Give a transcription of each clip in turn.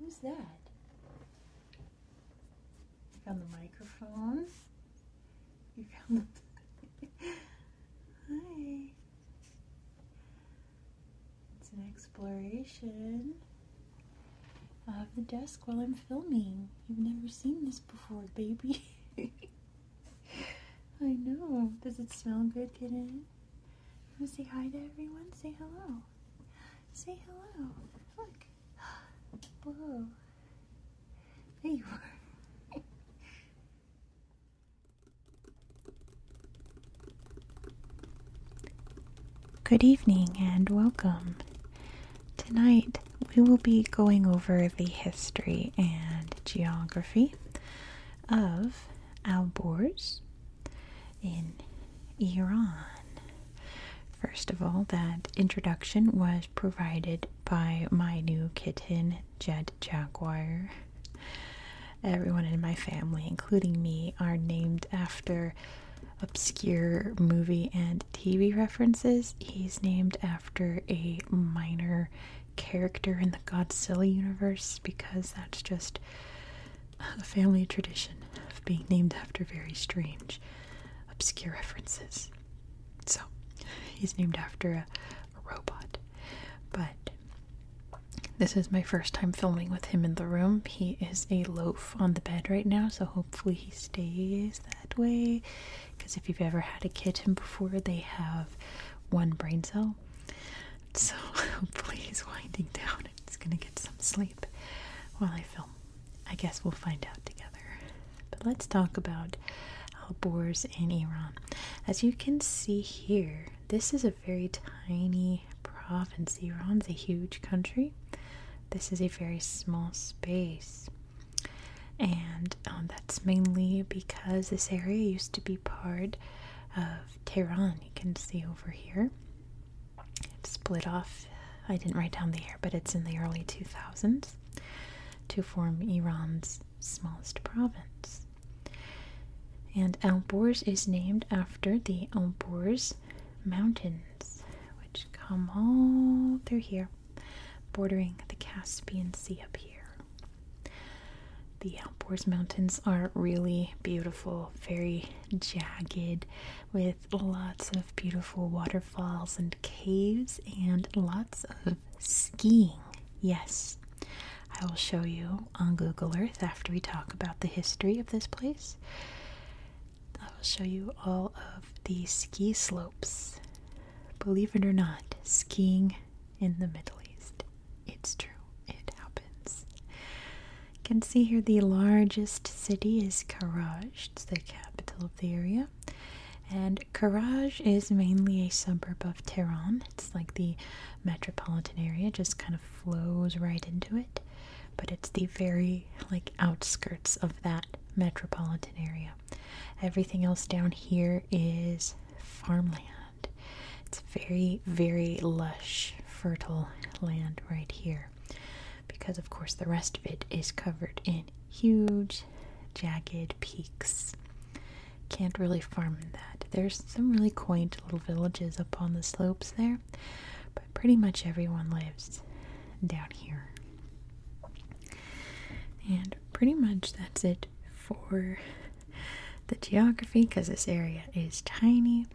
who's that? Found the microphone. You found the Hi. It's an exploration of the desk while I'm filming. You've never seen this before, baby. I know. Does it smell good today? say hi to everyone? Say hello. Say hello. Look. Whoa. There Good evening and welcome. Tonight we will be going over the history and geography of Alborz in Iran. First of all, that introduction was provided by my new kitten, Jed Jaguar. Everyone in my family, including me, are named after obscure movie and TV references. He's named after a minor character in the Godzilla universe because that's just a family tradition of being named after very strange, obscure references. So he's named after a, robot. But this is my first time filming with him in the room. He is a loaf on the bed right now, so hopefully he stays that way. Because if you've ever had a kitten before, they have one brain cell. So hopefully he's winding down he's gonna get some sleep while I film. I guess we'll find out together. But let's talk about Alborz in Iran. As you can see here, this is a very tiny province. Iran's a huge country. This is a very small space. And um, that's mainly because this area used to be part of Tehran. You can see over here. It split off. I didn't write down the year, but it's in the early 2000s to form Iran's smallest province. And Alborz is named after the Alborz Mountains, which come all through here, bordering the Caspian Sea up here. The Alborz Mountains are really beautiful, very jagged, with lots of beautiful waterfalls and caves, and lots of skiing. Yes, I will show you on Google Earth after we talk about the history of this place. I will show you all of the ski slopes. Believe it or not, skiing in the Middle East. It's true, it happens. You can see here the largest city is Karaj, it's the capital of the area. And Karaj is mainly a suburb of Tehran. It's like the metropolitan area just kind of flows right into it, but it's the very like outskirts of that metropolitan area. Everything else down here is farmland. It's very, very lush, fertile land right here because, of course, the rest of it is covered in huge, jagged Peaks. Can't really farm that. There's some really quaint little villages up on the slopes there, but pretty much everyone lives down here. And pretty much that's it for the geography because this area is tiny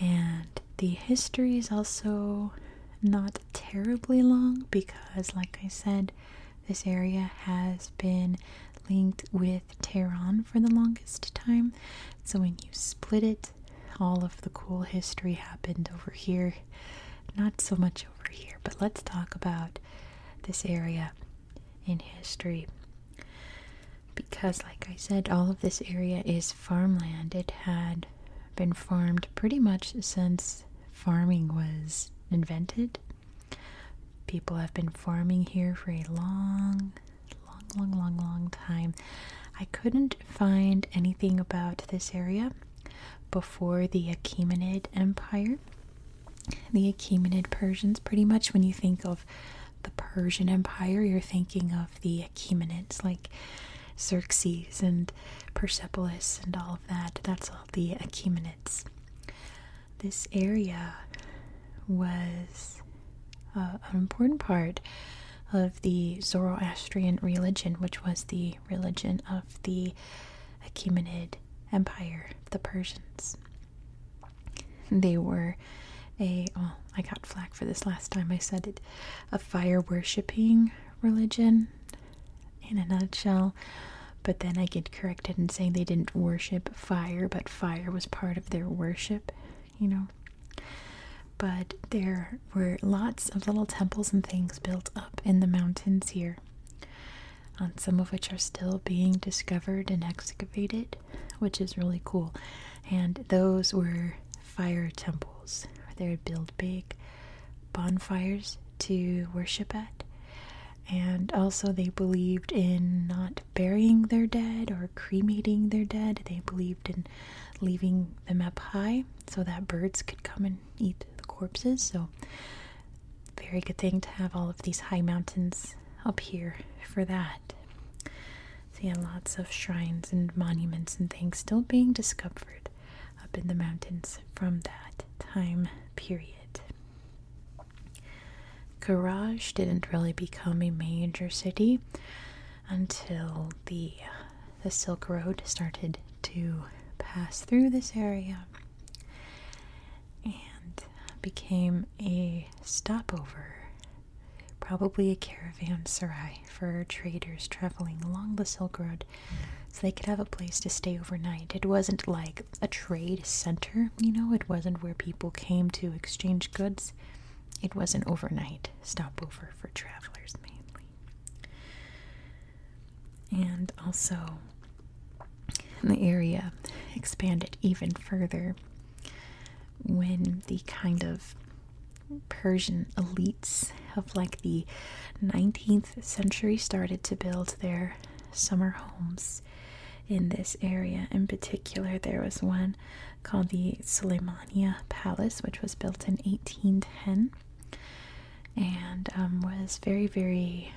and the history is also not terribly long because, like I said, this area has been linked with Tehran for the longest time. So when you split it, all of the cool history happened over here. Not so much over here, but let's talk about this area in history. Because, like I said, all of this area is farmland. It had been farmed pretty much since farming was invented People have been farming here for a long, long, long, long, long time. I couldn't find anything about this area before the Achaemenid Empire. The Achaemenid Persians, pretty much when you think of the Persian Empire, you're thinking of the Achaemenids, like Xerxes and Persepolis and all of that. That's all the Achaemenids. This area was uh, an important part of the Zoroastrian religion, which was the religion of the Achaemenid Empire, the Persians. They were a, well, I got flak for this last time I said it, a fire worshipping religion in a nutshell. But then I get corrected and saying they didn't worship fire, but fire was part of their worship, you know. But there were lots of little temples and things built up in the mountains here, and um, some of which are still being discovered and excavated, which is really cool. And those were fire temples. They would build big bonfires to worship at and also they believed in not burying their dead or cremating their dead they believed in leaving them up high so that birds could come and eat the corpses so very good thing to have all of these high mountains up here for that so yeah lots of shrines and monuments and things still being discovered up in the mountains from that time period Garage didn't really become a major city until the the Silk Road started to pass through this area and became a stopover, probably a caravanserai for traders traveling along the Silk Road so they could have a place to stay overnight. It wasn't like, a trade center, you know, it wasn't where people came to exchange goods. It was an overnight stopover for travelers mainly. And also, the area expanded even further when the kind of Persian elites of like the 19th century started to build their summer homes in this area. In particular, there was one called the Suleimania Palace, which was built in 1810 and um, was very, very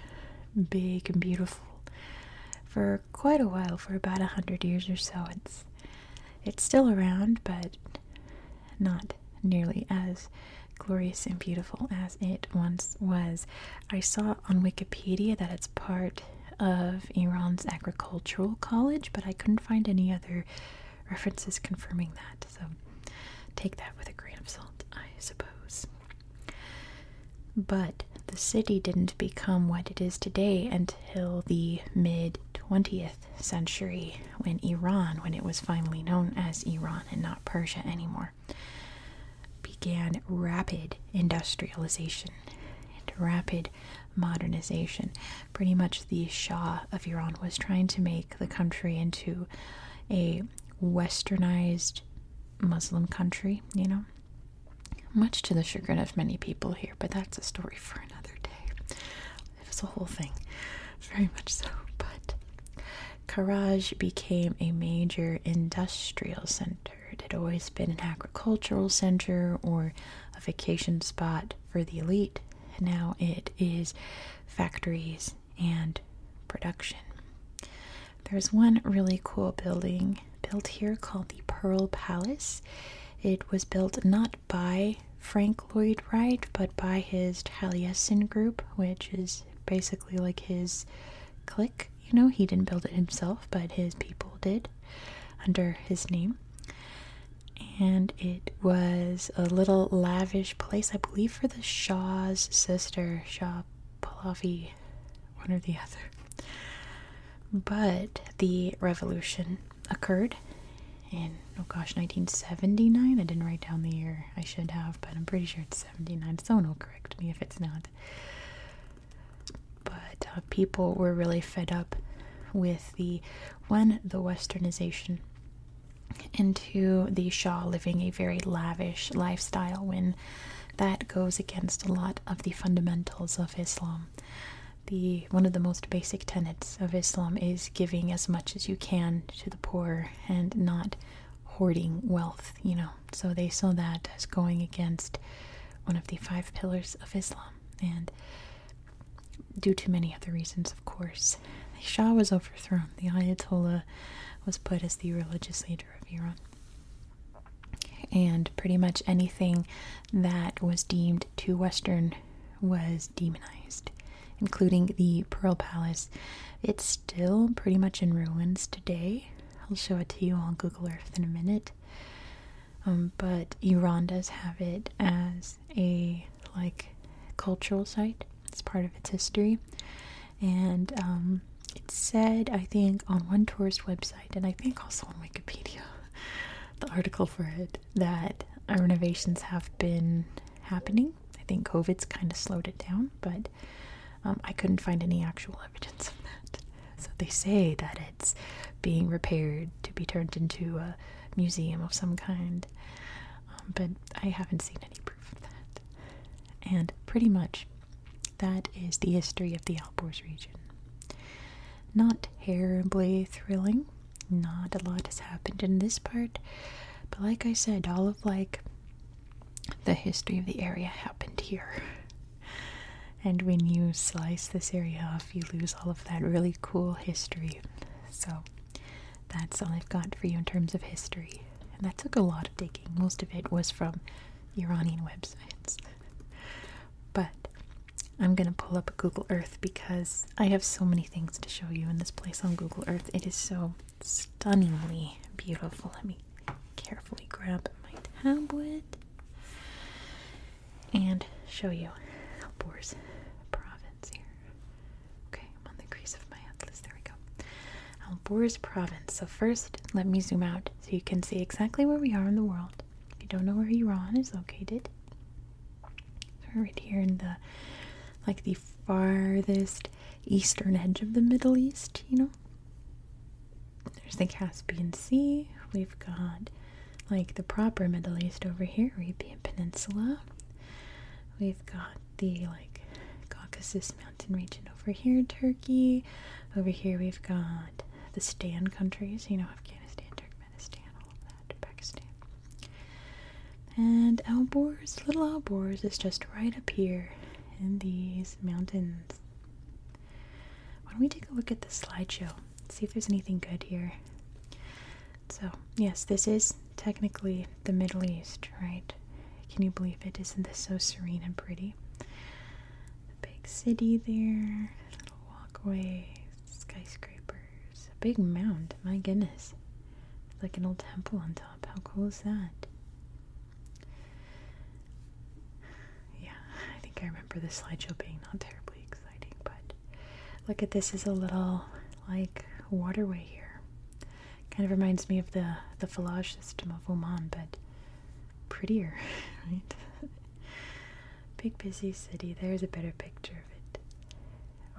big and beautiful for quite a while, for about a hundred years or so. It's it's still around, but not nearly as glorious and beautiful as it once was. I saw on Wikipedia that it's part of Iran's agricultural college, but I couldn't find any other references confirming that. So take that with a grain of salt, I suppose. But the city didn't become what it is today until the mid 20th century when Iran, when it was finally known as Iran and not Persia anymore began rapid industrialization and rapid modernization. Pretty much the Shah of Iran was trying to make the country into a westernized Muslim country, you know. Much to the chagrin of many people here, but that's a story for another day. It was a whole thing, very much so. But Karaj became a major industrial center. It had always been an agricultural center or a vacation spot for the elite. Now it is factories and production. There's one really cool building built here called the Pearl Palace. It was built not by Frank Lloyd Wright, but by his Taliesin group, which is basically like his clique you know, he didn't build it himself, but his people did under his name. And it was a little lavish place, I believe, for the Shah's sister, Shah Pahlavi, one or the other. But the revolution occurred in, oh gosh, 1979. I didn't write down the year I should have, but I'm pretty sure it's 79. Someone will correct me if it's not. But uh, people were really fed up with the when the westernization, into the Shah living a very lavish lifestyle when that goes against a lot of the fundamentals of Islam. The one of the most basic tenets of Islam is giving as much as you can to the poor and not hoarding wealth, you know. So they saw that as going against one of the five pillars of Islam. And due to many other reasons, of course, the Shah was overthrown. The Ayatollah was put as the religious leader of Iran. And pretty much anything that was deemed too Western was demonized, including the Pearl Palace. It's still pretty much in ruins today. I'll show it to you on Google Earth in a minute. Um, but Iran does have it as a like cultural site. It's part of its history, and um, it said I think on one tourist website, and I think also on Wikipedia, the article for it that renovations have been happening. I think COVID's kind of slowed it down, but um, I couldn't find any actual evidence of that. So they say that it's being repaired to be turned into a museum of some kind, um, but I haven't seen any proof of that. And pretty much that is the history of the Alborz region. Not terribly thrilling, not a lot has happened in this part, but like I said, all of like the history of the area happened here. And when you slice this area off, you lose all of that really cool history. So that's all I've got for you in terms of history. And that took a lot of digging. Most of it was from Iranian websites. But I'm going to pull up Google Earth because I have so many things to show you in this place on Google Earth. It is so stunningly beautiful. Let me carefully grab my tablet and show you Albor's province here. Okay, I'm on the crease of my atlas. There we go. Albor's um, province. So first, let me zoom out so you can see exactly where we are in the world. If you don't know where Iran is located, we're right here in the like the farthest eastern edge of the Middle East, you know. There's the Caspian Sea. We've got like the proper Middle East over here, Arabian Peninsula. We've got the like Caucasus mountain region over here, Turkey. Over here we've got the Stan countries, you know, Afghanistan, Turkmenistan, all of that, Pakistan. And Albors, little Albors is just right up here in these mountains. Why don't we take a look at the slideshow? See if there's anything good here. So, yes, this is technically the Middle East, right? Can you believe it? Isn't this so serene and pretty? The big city there, walkways, skyscrapers, a big mound, my goodness. like an old temple on top. How cool is that? Yeah, I think I remember the slideshow being not terribly exciting, but look at this is a little like waterway here. Kind of reminds me of the the fallage system of Oman, but prettier, right? Big busy city. There's a better picture of it.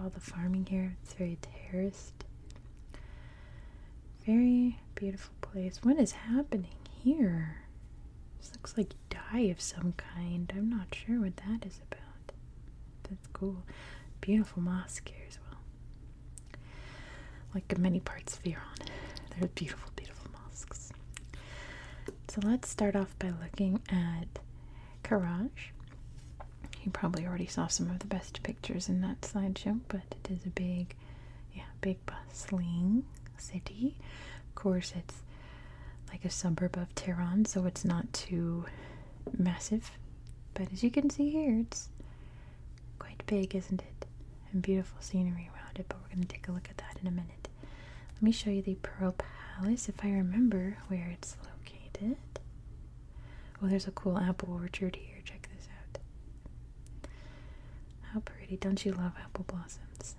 All the farming here, it's very terraced. Very beautiful place. What is happening here? This looks like dye of some kind. I'm not sure what that is about. That's cool. Beautiful mosque here as well. Like many parts of Iran, there are beautiful, beautiful mosques. So let's start off by looking at Karaj. You probably already saw some of the best pictures in that slideshow, but it is a big, yeah, big big city. Of course, it's like a suburb of Tehran, so it's not too massive. But as you can see here, it's quite big, isn't it? And beautiful scenery around it, but we're going to take a look at that in a minute. Let me show you the Pearl Palace if I remember where it's located. Oh, there's a cool apple orchard here. Check this out. How pretty. Don't you love apple blossoms?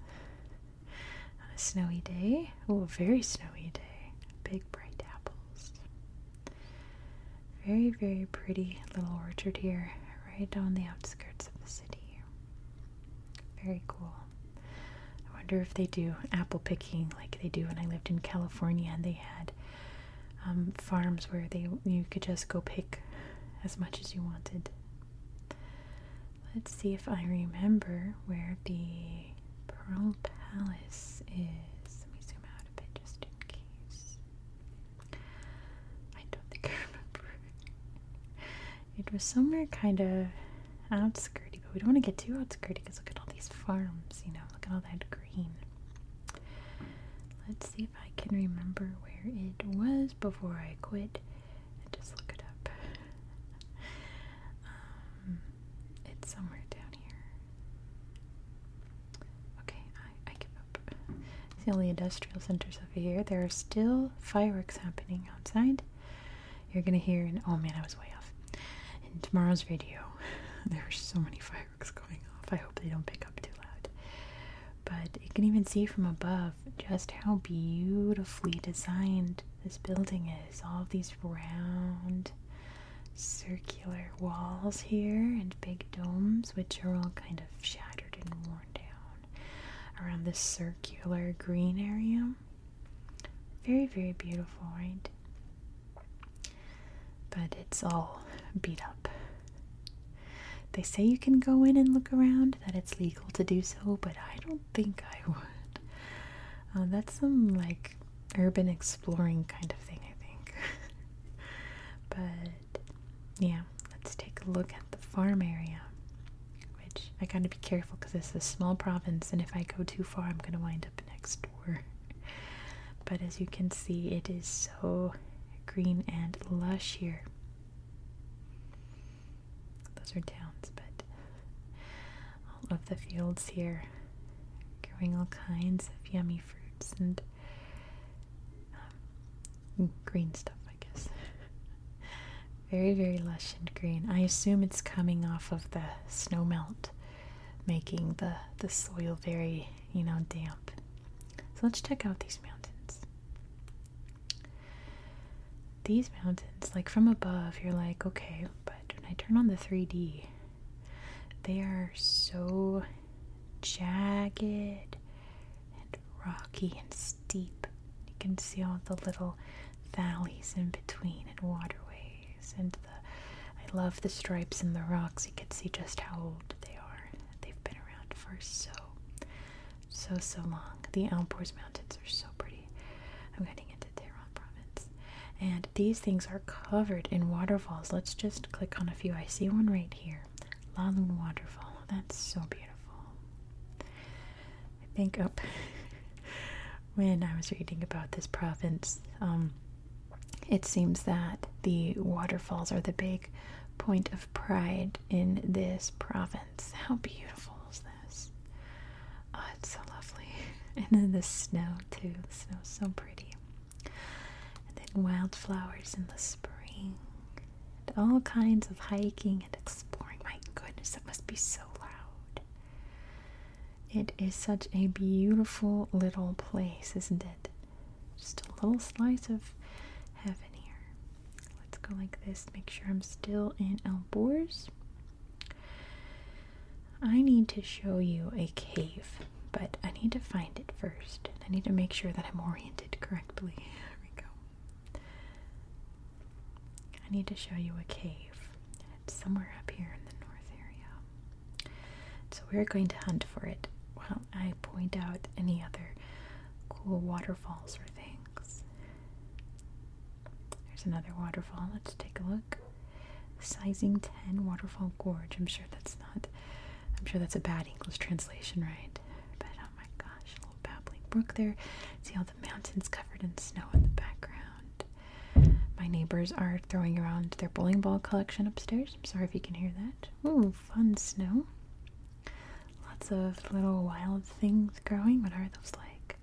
On a snowy day? Oh, a very snowy day. Big bright apples. Very, very pretty little orchard here, right on the outskirts of the city. Very cool. I wonder if they do apple picking like they do when I lived in California and they had um, farms where they you could just go pick as much as you wanted. Let's see if I remember where the Pearl Palace is. Let me zoom out a bit just in case. I don't think I remember. It was somewhere kind of outskirty, but we don't want to get too outskirty because look at all these farms, you know, look at all that green. Let's see if I can remember where it was before I quit just look it up. Um, it's somewhere down here. Okay, I, give up. It's the only industrial centers over here. There are still fireworks happening outside. You're gonna hear and oh man, I was way off. In tomorrow's video, there are so many fireworks going off. I hope they don't pick up too loud but you can even see from above just how beautifully designed this building is. All of these round circular walls here and big domes, which are all kind of shattered and worn down around this circular green area. Very, very beautiful, right? But it's all beat up. They say you can go in and look around, that it's legal to do so, but I don't think I would. Uh, that's some like urban exploring kind of thing, I think. but yeah, let's take a look at the farm area, which I gotta be careful because this is a small province, and if I go too far, I'm gonna wind up next door. but as you can see, it is so green and lush here. Those are towns, but all of the fields here growing all kinds of yummy fruits and um, green stuff, I guess. very, very lush and green. I assume it's coming off of the snow melt, making the, the soil very, you know, damp. So let's check out these mountains. These mountains, like from above, you're like, okay, but when I turn on the 3D, they are so jagged and rocky and steep. You can see all the little valleys in between and waterways and the I love the stripes in the rocks. You can see just how old they are. They've been around for so so so long. The Alborz Mountains are so pretty. I'm getting into Tehran province. And these things are covered in waterfalls. Let's just click on a few. I see one right here. Lalun Waterfall. That's so beautiful. I think oh, up when I was reading about this province, um, it seems that the waterfalls are the big point of pride in this province. How beautiful is this? Oh, it's so lovely. And then the snow, too. The snow's so pretty. And then wildflowers in the spring. And all kinds of hiking and exploring. My goodness, that must be so loud. It is such a beautiful little place, isn't it? Just a little slice of heaven here. Let's go like this. Make sure I'm still in Elborz. I need to show you a cave, but I need to find it first. I need to make sure that I'm oriented correctly. There we go. I need to show you a cave. It's somewhere up here in the north area. So we're going to hunt for it while I point out any other cool waterfalls or things. There's another waterfall. Let's take a look. Sizing 10 Waterfall Gorge. I'm sure that's not, I'm sure that's a bad English translation, right? But oh my gosh, little babbling brook there. See all the mountains covered in snow in the background. My neighbors are throwing around their bowling ball collection upstairs. I'm sorry if you can hear that. Ooh, fun snow. Lots of little wild things growing. What are those like?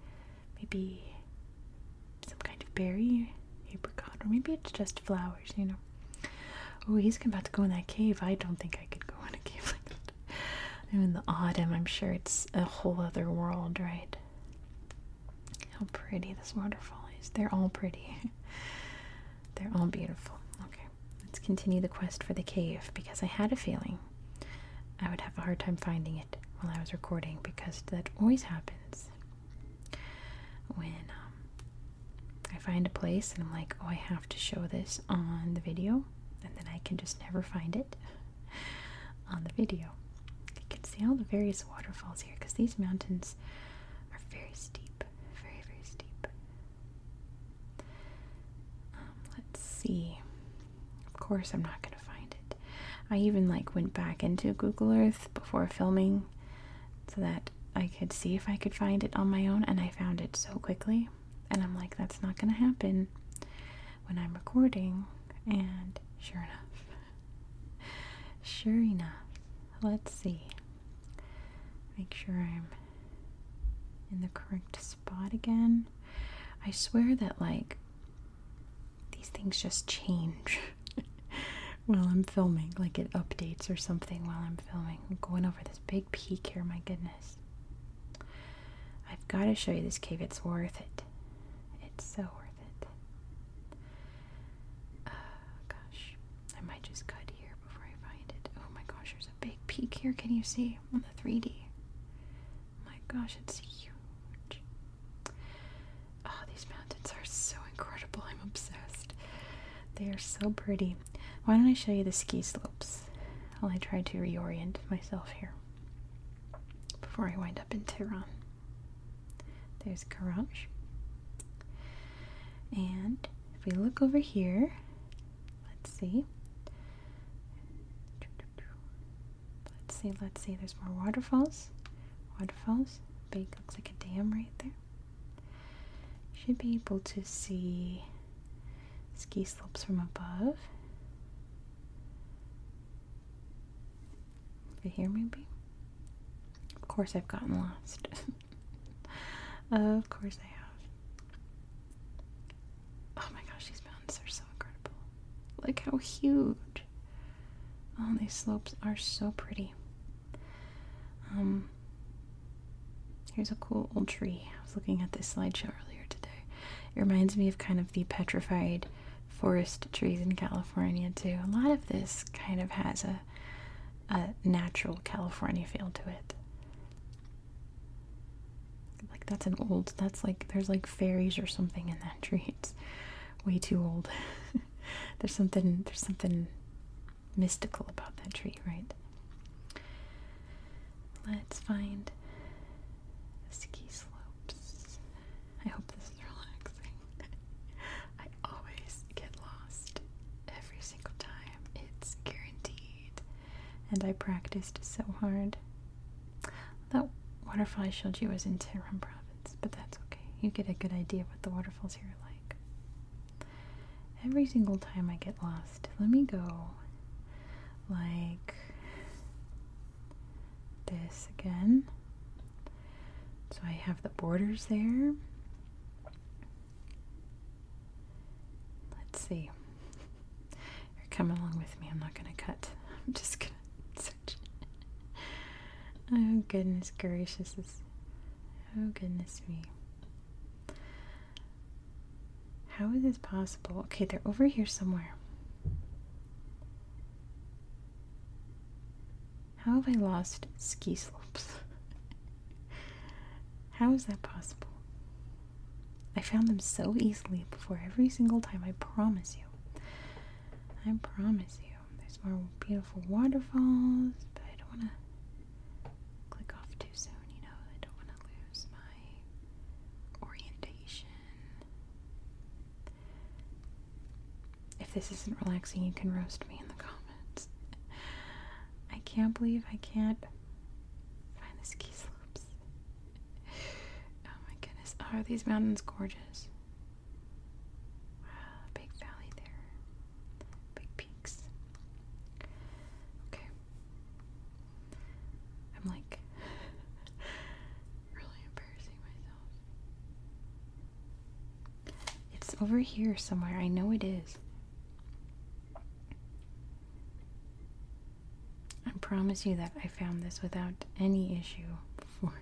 Maybe some kind of berry, apricot, or maybe it's just flowers, you know. Oh, he's about to go in that cave. I don't think I could go in a cave like that. I'm in the autumn. I'm sure it's a whole other world, right? How pretty this waterfall is. They're all pretty. They're all beautiful. Okay. Let's continue the quest for the cave because I had a feeling I would have a hard time finding it while I was recording because that always happens when um, I find a place and I'm like, oh, I have to show this on the video, and then I can just never find it on the video. You can see all the various waterfalls here because these mountains are very steep, very, very steep. Um, let's see. Of course, I'm not going to find it. I even like went back into Google Earth before filming so that I could see if I could find it on my own, and I found it so quickly. And I'm like, that's not going to happen when I'm recording. And sure enough, sure enough, let's see. Make sure I'm in the correct spot again. I swear that, like, these things just change while I'm filming. Like, it updates or something while I'm filming. I'm going over this big peak here, my goodness. I've got to show you this cave. It's worth it. It's so worth it. Oh, gosh. I might just cut here before I find it. Oh my gosh, there's a big peak here. Can you see on the 3D? My gosh, it's huge. Oh, these mountains are so incredible. I'm obsessed. They are so pretty. Why don't I show you the ski slopes while I try to reorient myself here before I wind up in Tehran? There's Karaj. And if we look over here, Let's see. Let's see, let's see. There's more waterfalls. Waterfalls. Big, looks like a dam right there. Should be able to see ski slopes from above. Over here, maybe. Of course, I've gotten lost. of course, I have. Oh my gosh, these mountains are so incredible. Look how huge. Oh, these slopes are so pretty. Um, here's a cool old tree. I was looking at this slideshow earlier today. It reminds me of kind of the petrified forest trees in California too. A lot of this kind of has a a natural California feel to it. Like that's an old that's like there's like fairies or something in that tree. It's way too old. there's something there's something mystical about that tree, right? Let's find ski slopes. I hope this is relaxing. I always get lost every single time. It's guaranteed and I practiced so hard. That waterfall I showed you was in Tehran province, but that's okay. You get a good idea what the waterfalls here are like. Every single time I get lost, let me go like this again. So I have the borders there. Let's see. You're coming along with me. I'm not going to cut. I'm just going to search. oh, goodness gracious. oh, goodness me. How is this possible? Okay, they're over here somewhere. How have I lost ski slopes? How is that possible? I found them so easily before every single time, I promise you. I promise you. There's more beautiful waterfalls, but I don't want to click off too soon, you know. I don't want to lose my orientation. If this isn't relaxing, you can roast me in the comments. I can't believe I can't Find the ski slopes. oh my goodness. are these mountains gorgeous? Wow, big valley there. Big peaks. Okay. I'm like really embarrassing myself. It's over here somewhere. I know it is. I promise you that I found this without any issue before.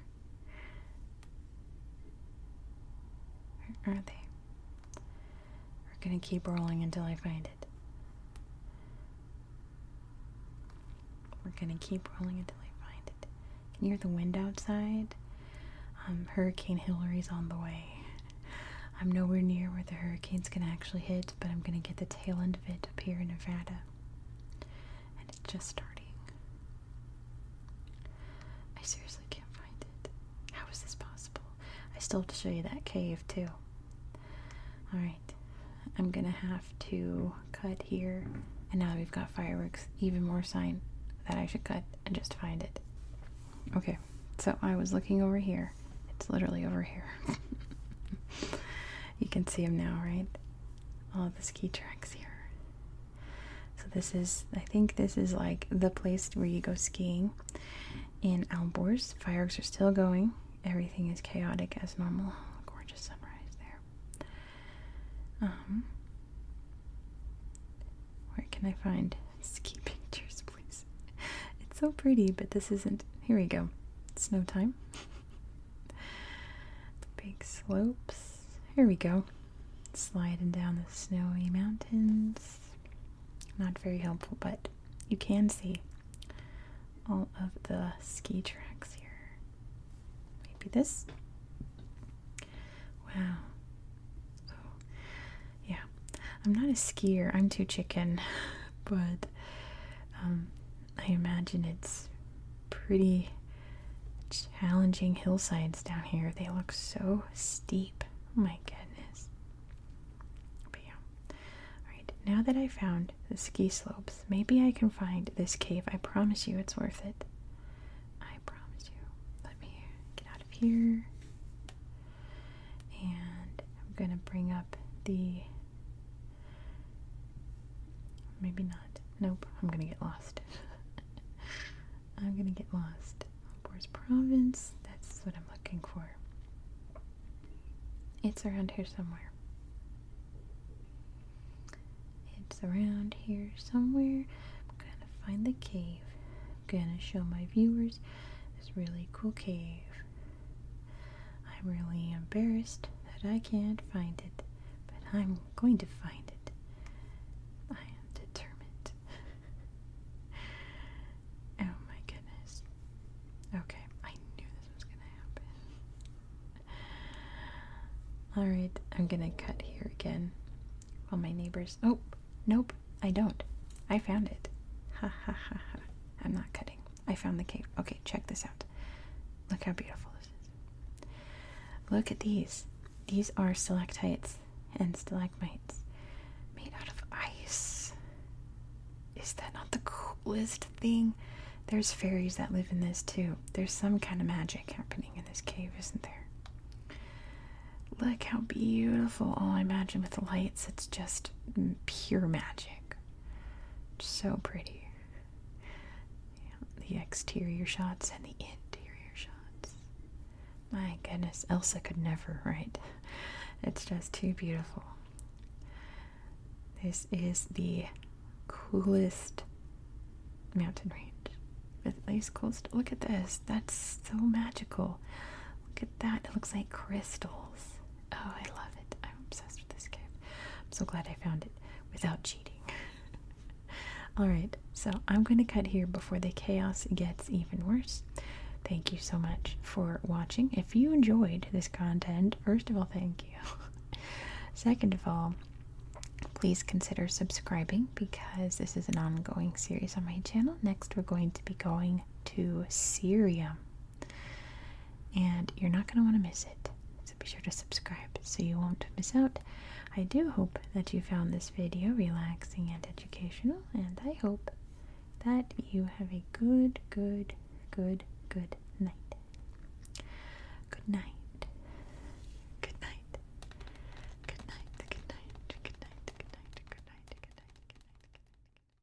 Where are they? We're gonna keep rolling until I find it. We're gonna keep rolling until I find it. Can you hear the wind outside? Um, hurricane Hillary's on the way. I'm nowhere near where the hurricanes gonna actually hit but I'm gonna get the tail end of it up here in Nevada. And it's just starting. I seriously can't find it. How is this possible? I still have to show you that cave too. Alright, I'm gonna have to cut here. And now we've got fireworks, even more sign that I should cut and just find it. Okay so I was looking over here. It's literally over here. you can see them now, right? All the ski tracks here. So this is, I think this is like the place where you go skiing in Alborz. Fireworks are still going. Everything is chaotic as normal. Gorgeous sunrise there. Um, where can I find ski pictures? It's so pretty, but this isn't. Here we go. Snow time. big slopes. Here we go. Sliding down the snowy mountains. Not very helpful, but you can see all of the ski tracks here. Maybe this. Wow. Oh, yeah, i'm not a skier i'm too chicken but um, i imagine it's pretty challenging hillsides down here they look so steep oh my goodness but yeah all right now that i found the ski slopes maybe i can find this cave i promise you it's worth it i promise you let me get out of here and I'm going to bring up the. Maybe not. Nope, I'm going to get lost. I'm going to get lost. Where's province? That's what I'm looking for. It's around here somewhere. It's around here somewhere. I'm going to find the cave. I'm going to show my viewers this really cool cave. I'm really embarrassed that I can't find it, but I'm going to find it. I am determined. oh my goodness. Okay, I knew this was gonna happen. Alright, I'm gonna cut here again. While my neighbors. Oh, nope, I don't. I found it. Ha ha ha ha. I'm not cutting. I found the cave. Okay, check this out. Look how beautiful this is. Look at these. These are stalactites and stalagmites made out of ice. Is that not the coolest thing? There's fairies that live in this too. There's some kind of magic happening in this cave, isn't there? Look how beautiful. Oh, I imagine with the lights, it's just pure magic. So pretty. the exterior shots and the interior shots. My goodness, Elsa could never, right? It's just too beautiful. This is the coolest mountain range. At least coolest. Look at this. That's so magical. Look at that. It looks like crystals. Oh, I love it. I'm obsessed with this cave. I'm so glad I found it without cheating. Alright, so I'm going to cut here before the chaos gets even worse. Thank you so much for watching. If you enjoyed this content, first of all, thank you. Second of all, please consider subscribing because this is an ongoing series on my channel. Next, we're going to be going to Syria and you're not going to want to miss it. So be sure to subscribe so you won't miss out. I do hope that you found this video relaxing and educational, and I hope that you have a good, good, good, good night. Good night. Good night. Good night. Good night. Good night. Good night. Good night. Good night.